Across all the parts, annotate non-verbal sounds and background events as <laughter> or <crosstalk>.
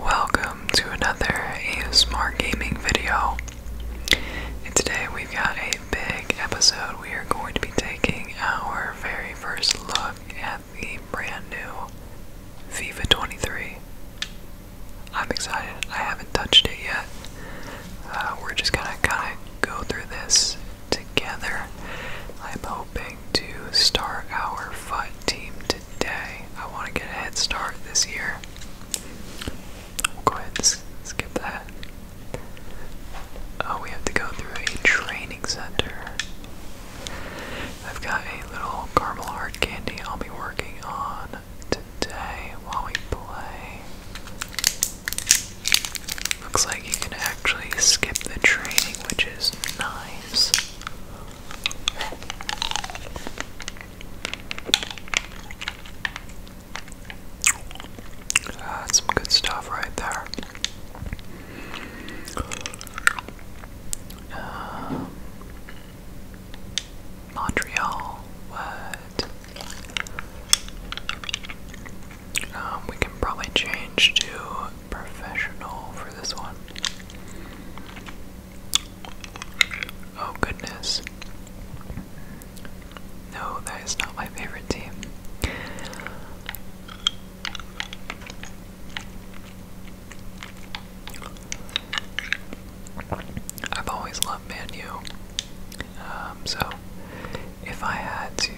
Welcome to another A Smart gaming video. And today we've got a big episode. We are going to be taking our very first look at the brand new FIFA 23. I'm excited. I haven't touched it yet. Uh, we're just gonna kind of go through this together. I'm to start our fight team today. I want to get a head start this year. We'll go ahead and skip that. Oh, we have to go through a training center. I've got a little caramel hard candy I'll be working on today while we play. Looks like you can actually skip the training, which is nice. That's ah, some good stuff right there. Um, Montreal, what? Um, we can probably change to professional for this one. Oh goodness. No, that is not my favorite team. I've always loved Man U. Um, so, if I had to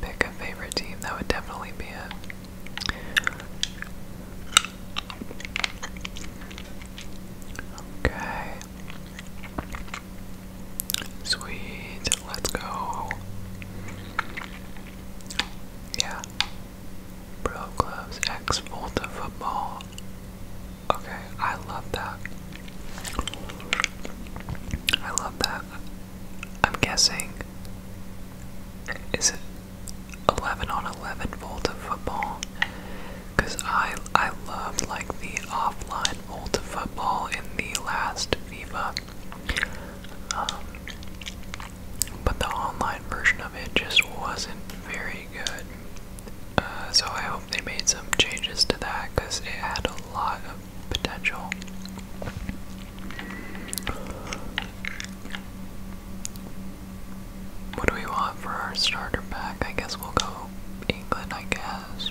pick a favorite team, that would definitely be it. Okay. Sweet. Let's go. Yeah. Bro Clubs X Volta Football. Okay, I love that. I love that. I'm guessing. Is it 11 on 11 football because I, I loved like the offline volt of football in the last FIFA. Um, but the online version of it just wasn't very good. Uh, so I hope they made some changes to that because it had a lot of potential. What do we want for our starter pack? I guess we'll go England, I guess.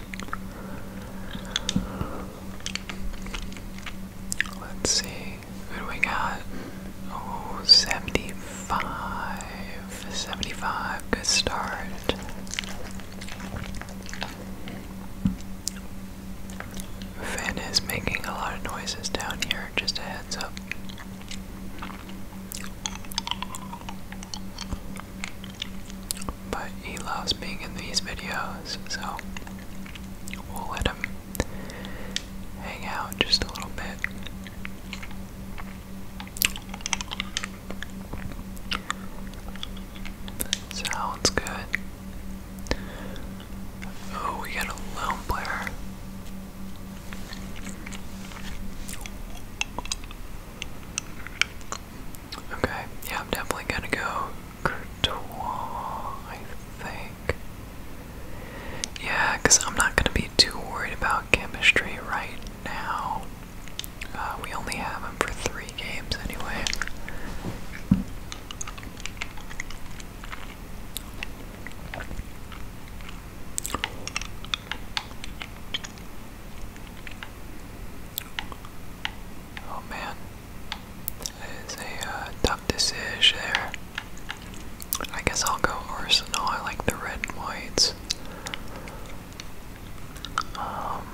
Let's see. Who do we got? Oh, 75. Good start. Finn is making a lot of noises down here, just a heads up. But he loves being in these videos, so we'll let him hang out just a little bit. Sounds good. Oh, we got a lone player. Okay, yeah, I'm definitely gonna go Courtois, I think. Yeah, because I'm not gonna be too worried about chemistry right now. Uh, we only have him for three games anyway. Oh man, that is a uh, tough decision there. I guess I'll go Arsenal. I like the red and whites. Um,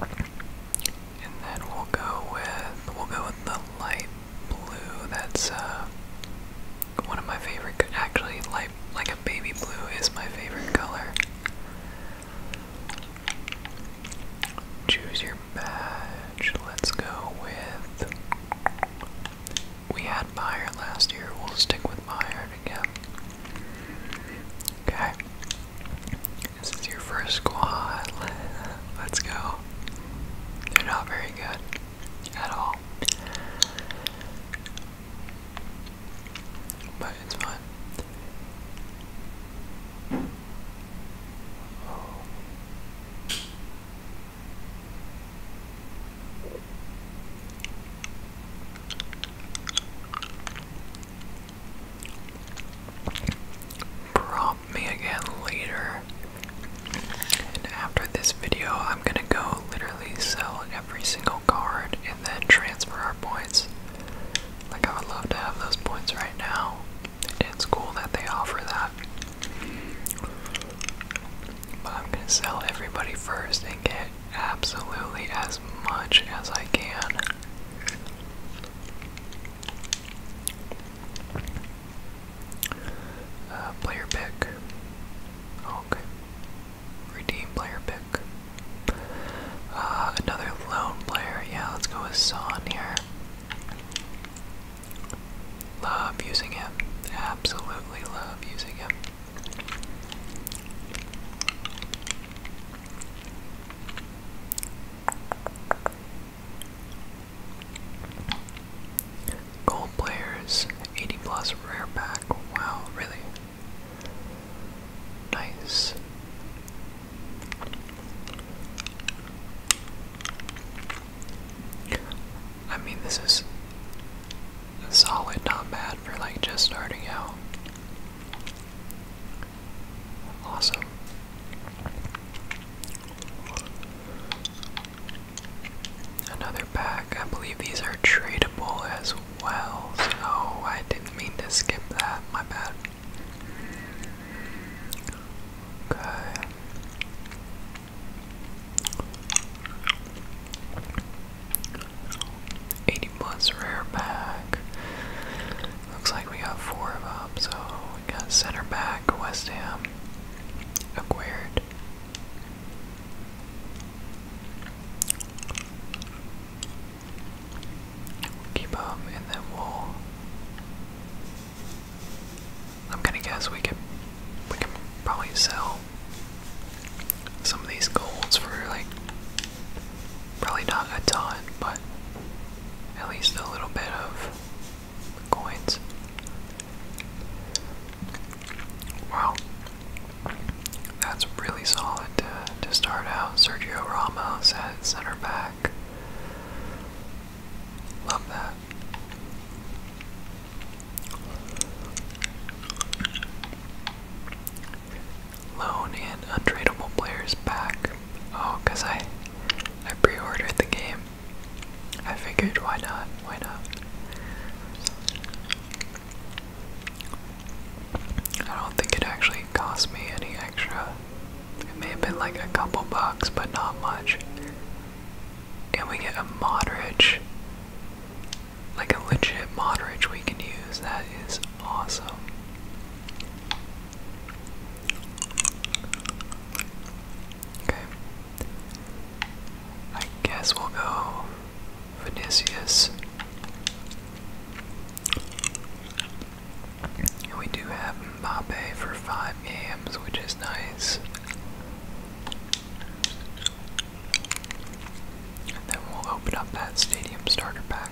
and then we'll go with we'll go with the light blue. That's uh one of my favorite. Actually, light like a baby blue is my favorite color. Choose your badge. Let's go with. We had Meyer last year. We'll stick with Meyer again. Okay. This is your first squad. Let's go. They're not very good at all. But it's fun prompt me again later. And after this video, I'm gonna go literally sell every single card and then transfer our points. Like, I would love to have those points right now. It's cool that they offer that. But I'm gonna sell everybody first and get absolutely as much as I can. Uh, player pick. Oh, okay. Redeem player pick. Uh, another lone player. Yeah, let's go with Son here. Love using him. Absolutely love using him. Gold players, 80 plus rare pack. Wow, really? Nice. I mean, this is solid, not bad for like just starting out. Awesome. Another pack. I believe these are tradable as well. oh, I didn't mean to skip that. My bad. Okay. Eighty plus rare pack. Looks like we got four of them, so center back, West Ham, acquired. keep him, and then we'll. I'm gonna guess we can, we can probably sell some of these golds for like, probably not a ton, but at least a little bit of coins. Wow. That's really solid to, start out. Sergio Ramos at center back. Love that. Loan and untradeable players back. Oh, because I I pre-ordered the game. I figured why not? Why not? I don't think it actually cost me any extra. It may have been like a couple bucks, but not much. And we get a moderage, like a legit moderage we can use. That is awesome. Okay. I guess we'll go Vinicius. And we do have Mbappe for five games, which is nice. And then we'll open up that stadium starter pack.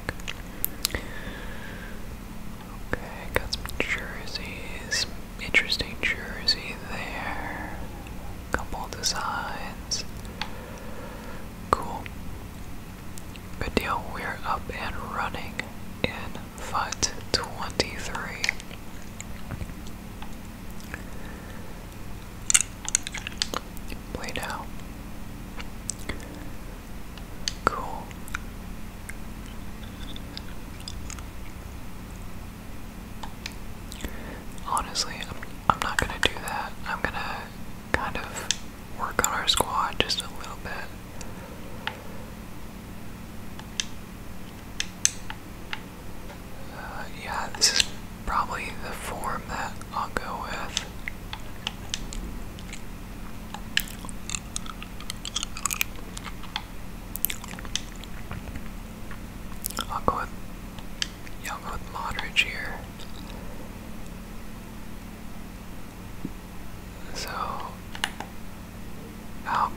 Okay, got some jerseys. Interesting jersey there. Couple designs. Cool. Good deal. We're up and running in FUT 23. Play now. Cool. Honestly, I'm, I'm not gonna do that. I'm gonna kind of work on our squad just a little bit. Uh, yeah, this is probably the form that I'll go with. I'll go with yeah, i with Modric here. So how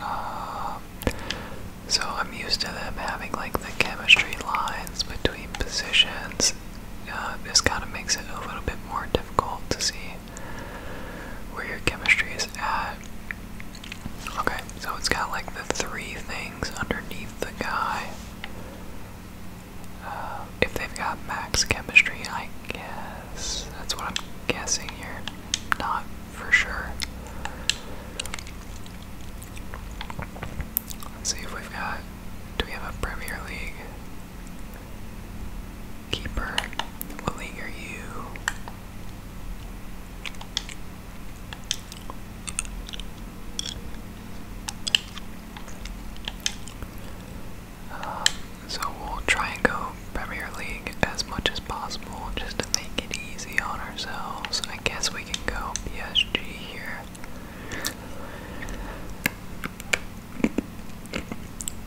uh, so I'm used to them having like the chemistry lines between positions. Uh, this kind of makes it a little bit more difficult to see where your chemistry is at. Okay, so it's got like the three things underneath the guy. Uh, if they've got max chemistry, I guess. That's what I'm guessing here. Not for sure. Let's see if we've got. Do we have a Premier League keeper? What league are you? Um, so we'll try and go Premier League as much as possible just to make it easy on ourselves. I guess we can go PSG here.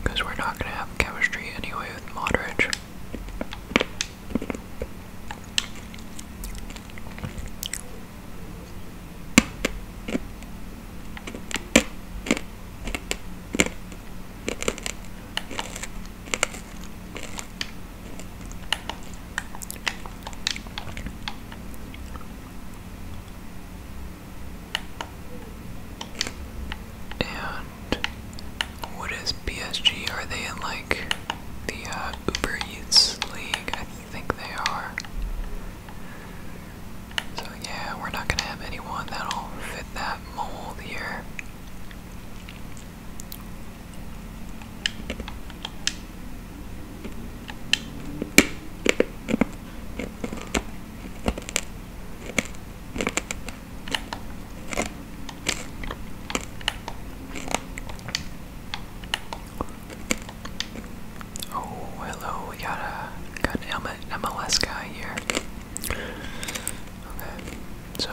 Because we're not going to have chemistry anyway with Modric. And what is PSG? Are they in like the uh, Uber Eats League? I think they are. So yeah, we're not gonna have anyone that'll fit that mold Oh, hello, we got a got an MLS guy here. Okay, so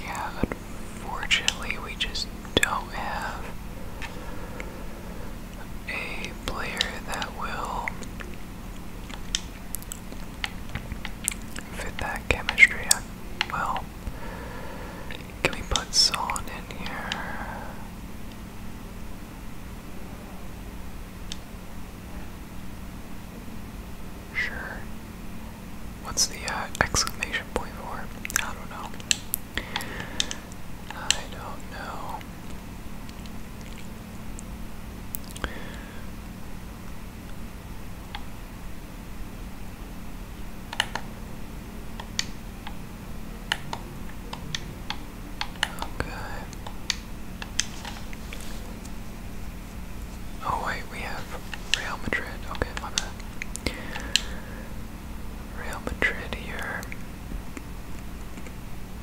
yeah, unfortunately, we just don't have a player that will fit that chemistry well. Can we put Solon in here? Sure. What's the uh, exclamation point for? I don't know. I don't know. Okay. Oh wait, we have Real Madrid. Okay, my bad. Real Madrid here.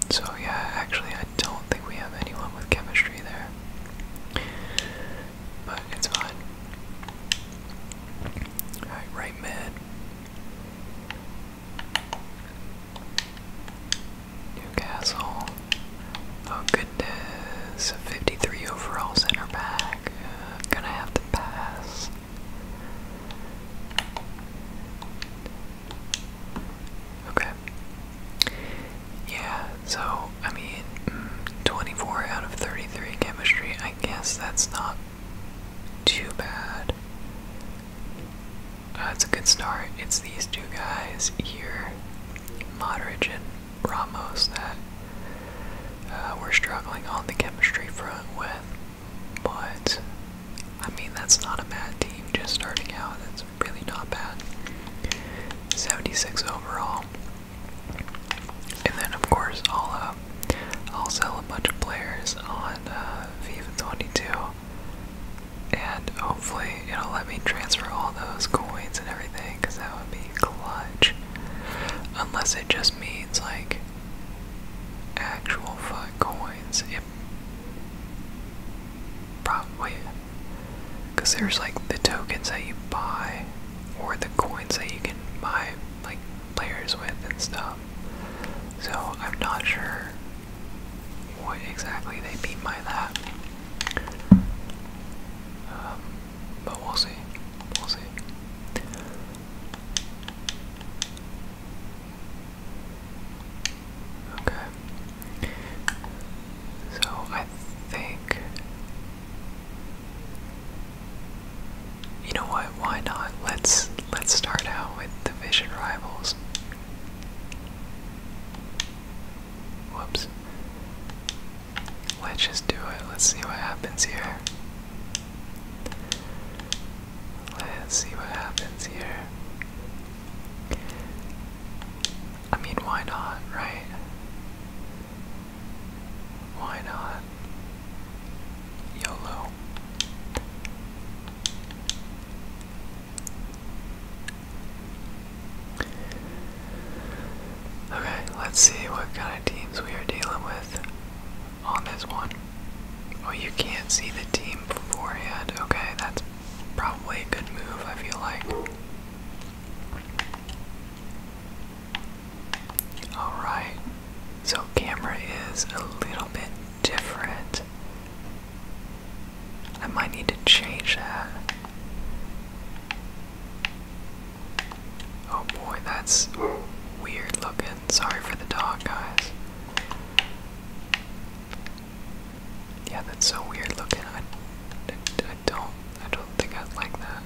So yeah, actually I don't think we have anyone with chemistry there. But it's fine. Alright, right mid. Newcastle. Oh goodness, 53 overall center back. Uh, gonna have to pass. Okay. Yeah, so, I mean, mm, 24 out of 33 chemistry, I guess that's not too bad. Uh, that's a good start. It's these two guys here, Modric and Ramos, that uh, we're struggling on the chemistry front with. But, I mean, that's not a bad team just starting out. That's really not bad. 76 overall. And then, of course, I'll, uh, I'll sell a bunch of players on uh, FIFA 22, and hopefully it'll let me transfer all those coins and everything, because that would be clutch. Unless it just means like actual fuck coins. probably because there's like the tokens that you buy or the coins that you can buy like players with and stuff. Um, so I'm not sure what exactly they mean by that. Um, but we'll see. We'll see. Okay. So I think. You know what? Why not? Let's let's start out with division rivals. Whoops. Let's just do it. Let's see what happens here. Let's see what happens here. I mean, why not, right? Why not? YOLO. Okay, let's see what kind of teams we are dealing with on this one. Oh, you can't see the team beforehand. Okay, that's probably a good move, I feel like. Alright, so camera is a little bit different. I might need to change that. Oh boy, that's weird looking. Sorry for the dog, guys. Yeah, that's so weird looking. I, I, don't, I don't think I'd like that.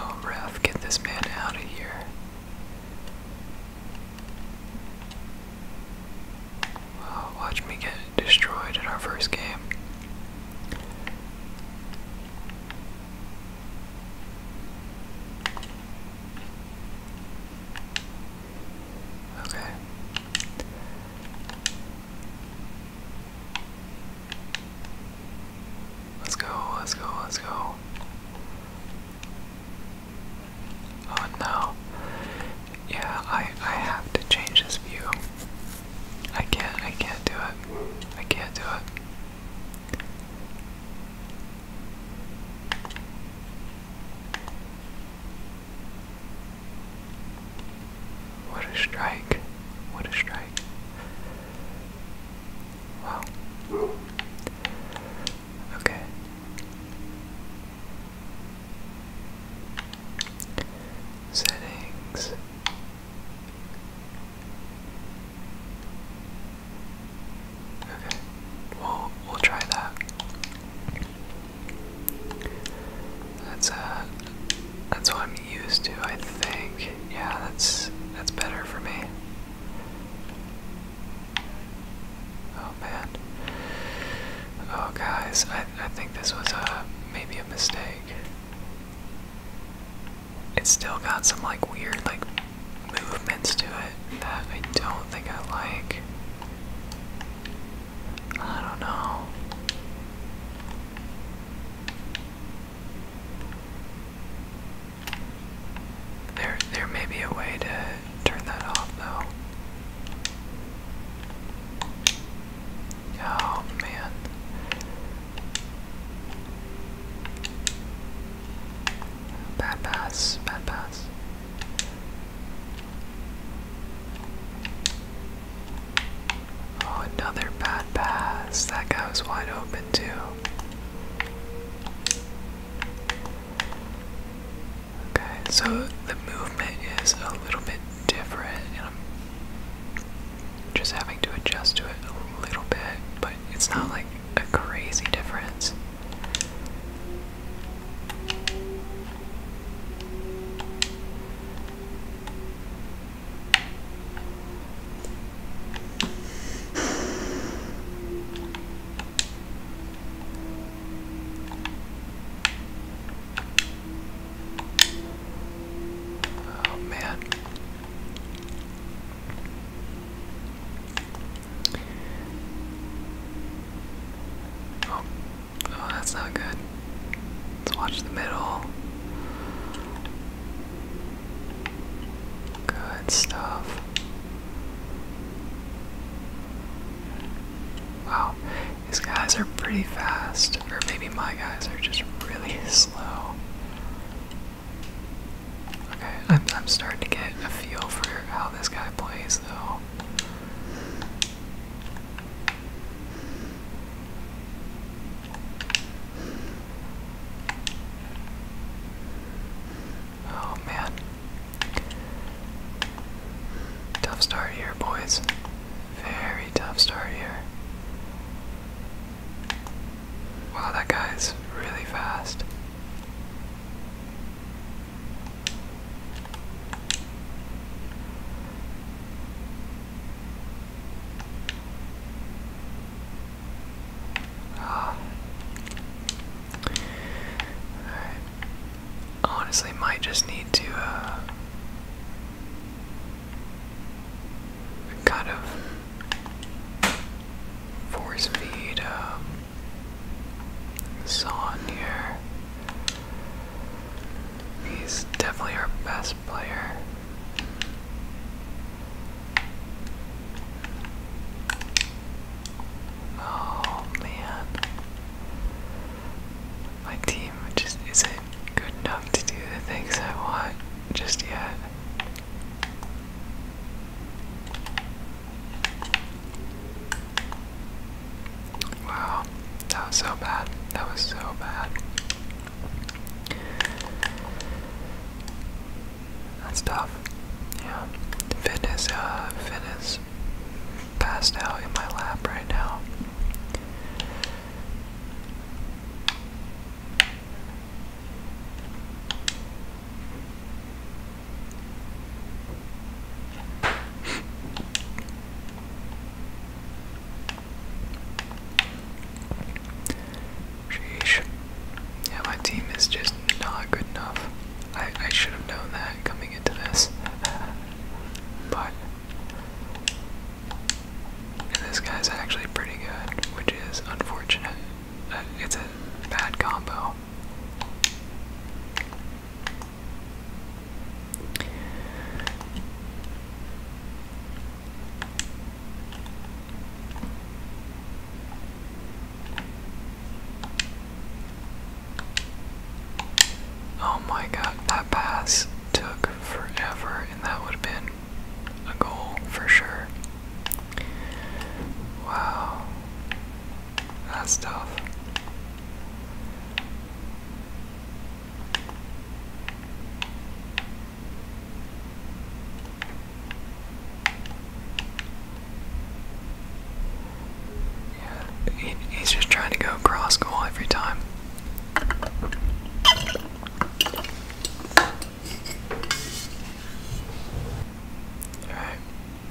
Oh, Ralph, get this man out of here. Wow, watch me get destroyed in our first game. Okay. Let's go, let's go, let's go. Oh no. Yeah, I I have to change this view. I can't I can't do it. I can't do it. What a strike. What a strike. Wow. Okay. Settings. Okay, we'll we'll try that. That's uh, that's what I'm used to, I think. Yeah, that's that's better for me. Oh man. Oh guys, I I think this was a uh, maybe a mistake. It's still got some like weird like movements to it that I don't think I like. I don't know. There, there may be a way to turn that off, though. Oh man. Bad pass, bad pass. Oh, another bad pass. That guy was wide open, too. Okay, so the movement is a little bit different, and I'm just having to adjust to it a little bit, but it's not like a crazy difference. Oh man. Oh, oh that's not good. Let's watch the middle. Good stuff. Wow, these guys are pretty fast, or maybe my guys are just really <laughs> slow. Okay, I'm, starting to get a feel for how this guy plays, though. Oh man. Tough start here, boys. Very tough start here. Wow, that guy's really fast. Ah. Honestly, might just need to uh, kind of force feed um, Son here. He's definitely our best player. Oh man. My team just isn't good enough to do the things I want just yet. Wow, that was so bad. That was so bad. That's tough. Yeah. Finn uh, Finn is passed out in my lap right now. Sheesh. Yeah, my team is just not good enough. I, I should have known that coming into this. but. this guy's actually pretty good, which is unfortunate. Uh, it's a bad combo. Oh my god, that pass took forever, and that would have been a goal for sure. Wow. That's tough. Yeah, he's just trying to go cross goal every time. Alright,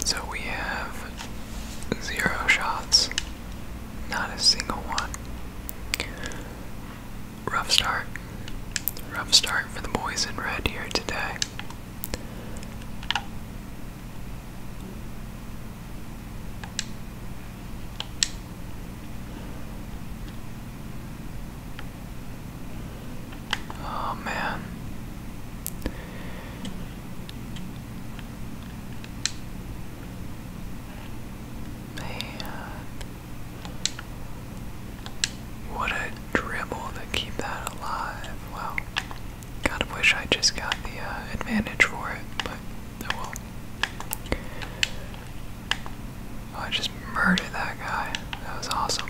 so we have zero shots, not a single one. Rough start. Rough start for the boys in red here today. Oh man. What a dribble to keep that alive. Wow. Kind of wish I just got the uh, advantage for it, but oh, oh I just murdered that guy. That was awesome.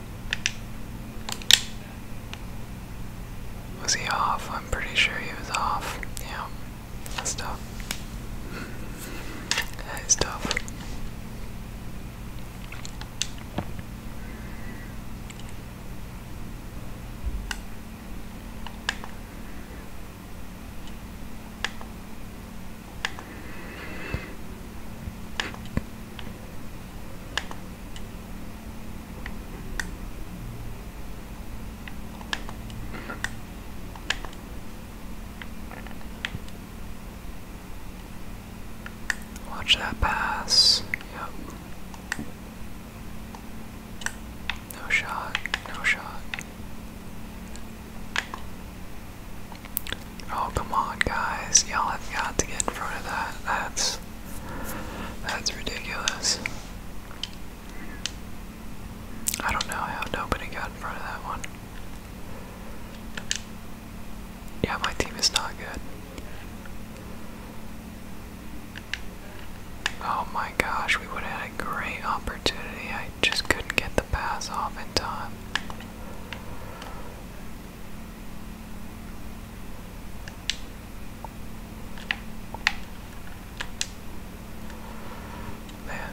Was he off? I'm pretty sure he was off. Yeah, that's tough. That is tough. Watch that pass. Yep. No shot, no shot. Oh come on guys, y'all have got to get in front of that. That's that's ridiculous. I don't know how nobody got in front of that one. Yeah, my team is not good. Oh my gosh, we would have had a great opportunity. I just couldn't get the pass off in time. Man.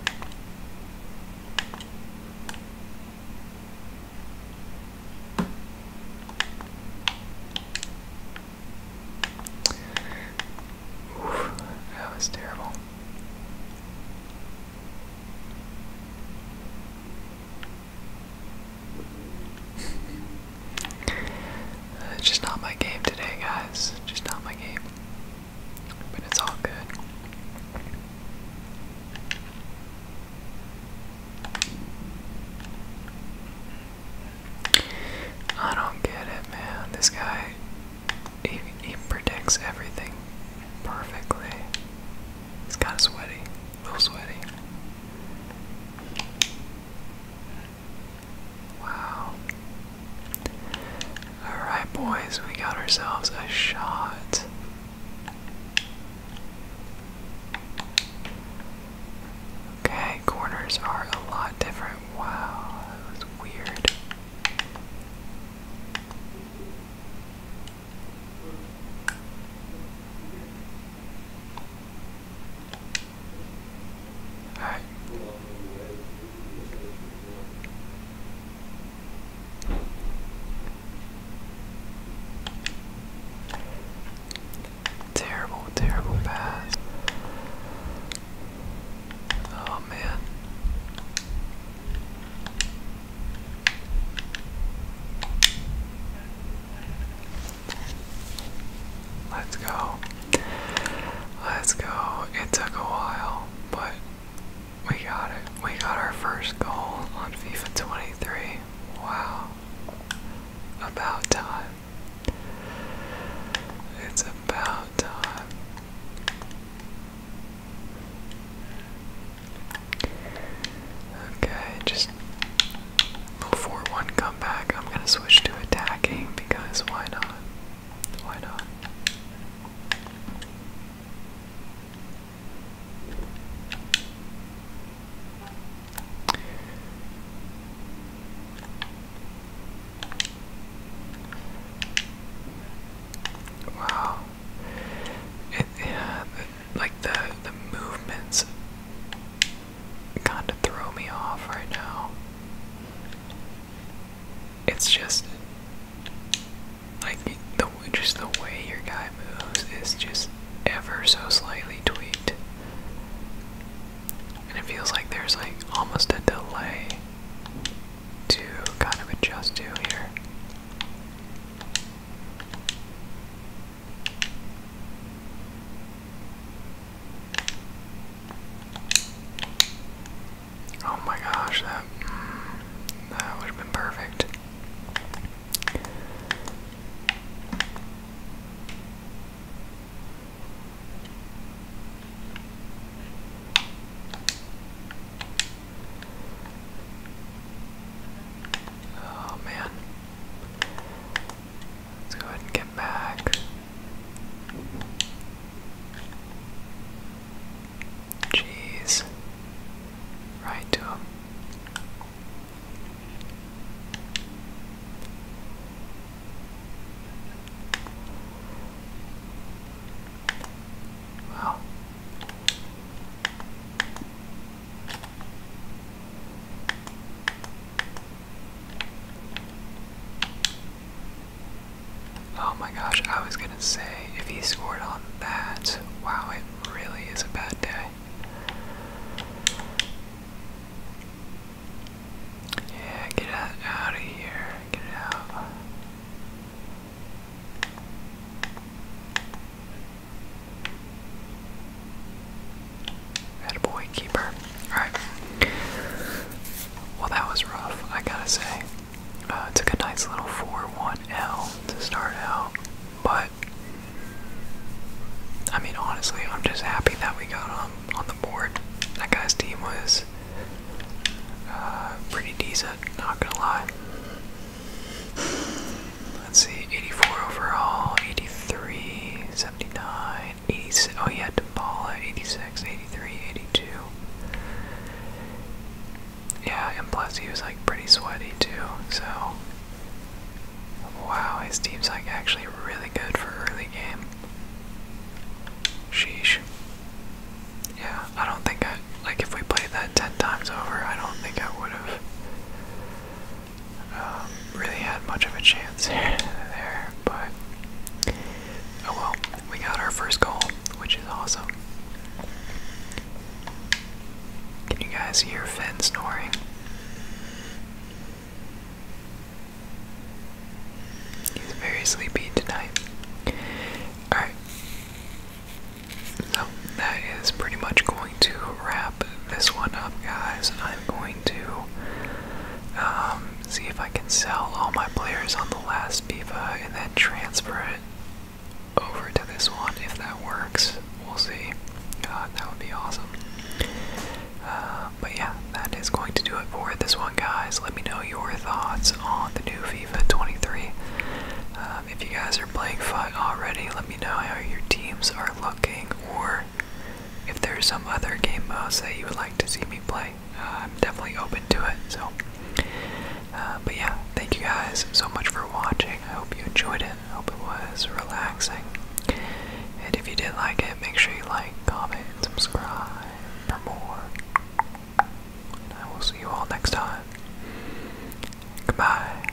that was terrible it's just not my game today, guys. Just not my game. But it's all good. I don't get it, man. This guy, he, he predicts everything perfectly. It's kind of sweaty, a little sweaty. Wow. Alright, boys, we got ourselves a shot. Okay, corners are a lot different. Wow, that was weird. Terrible, terrible pass. Oh man. Let's go. Let's go. It took a while, but we got it. We got our first goal on FIFA 23. Wow. About time. It's about time. Okay, just before one comeback, I'm gonna switch to attacking because why not? Why not? Wow. yeah, like the the movements kind of throw me off right now. It's just like the just the way your guy moves is just ever so slightly tweaked, and it feels like there's like almost a delay to kind of adjust to here. Oh my gosh, that mm, that would have been perfect. Oh man. Let's go ahead and get back. Jeez. Right to him. Wow. Oh my gosh, I was gonna say if he scored on that, wow, it really is a bad day. Yeah, get out, out of here. Get out. That boy keeper. Alright. Well, that was rough, I gotta say. Uh, took a nice little 4-1L to start out, but I mean, honestly, I'm just happy that we got on, on the board. That guy's team was uh, pretty decent, not gonna lie. Let's see, 84 overall, 83, 79, 86. Oh, he had to yeah, at 86, 83, 82. Yeah, and plus he was like pretty sweaty too, so. Wow, his team's like actually really good for early game. Sheesh. Yeah, I don't think I. Like, if we played that 10 times over, I don't think I would have. Um, really had much of a chance <laughs> there, but oh well, we got our first goal, which is awesome. Can you guys hear Finn snoring? He's very sleepy tonight. Alright. So that is pretty much cool going to wrap this one up, guys. I'm going to um, see if I can sell all my players on the last Viva and then transfer it over to this one. If that works, we'll see. God, that would be awesome. Uh, but yeah, that is going to do it for this one, guys. Let me know your thoughts on the new FIFA 23. Um, if you guys are playing FUT already, let me know how your teams are looking or if there's some other game modes that you would like to see me play, uh, I'm definitely open to it. So, uh, but yeah, thank you guys so much for watching. I hope you enjoyed it. I hope it was relaxing. And if you did like it, make sure you like, comment, and subscribe for more. And I will see you all next time. Goodbye.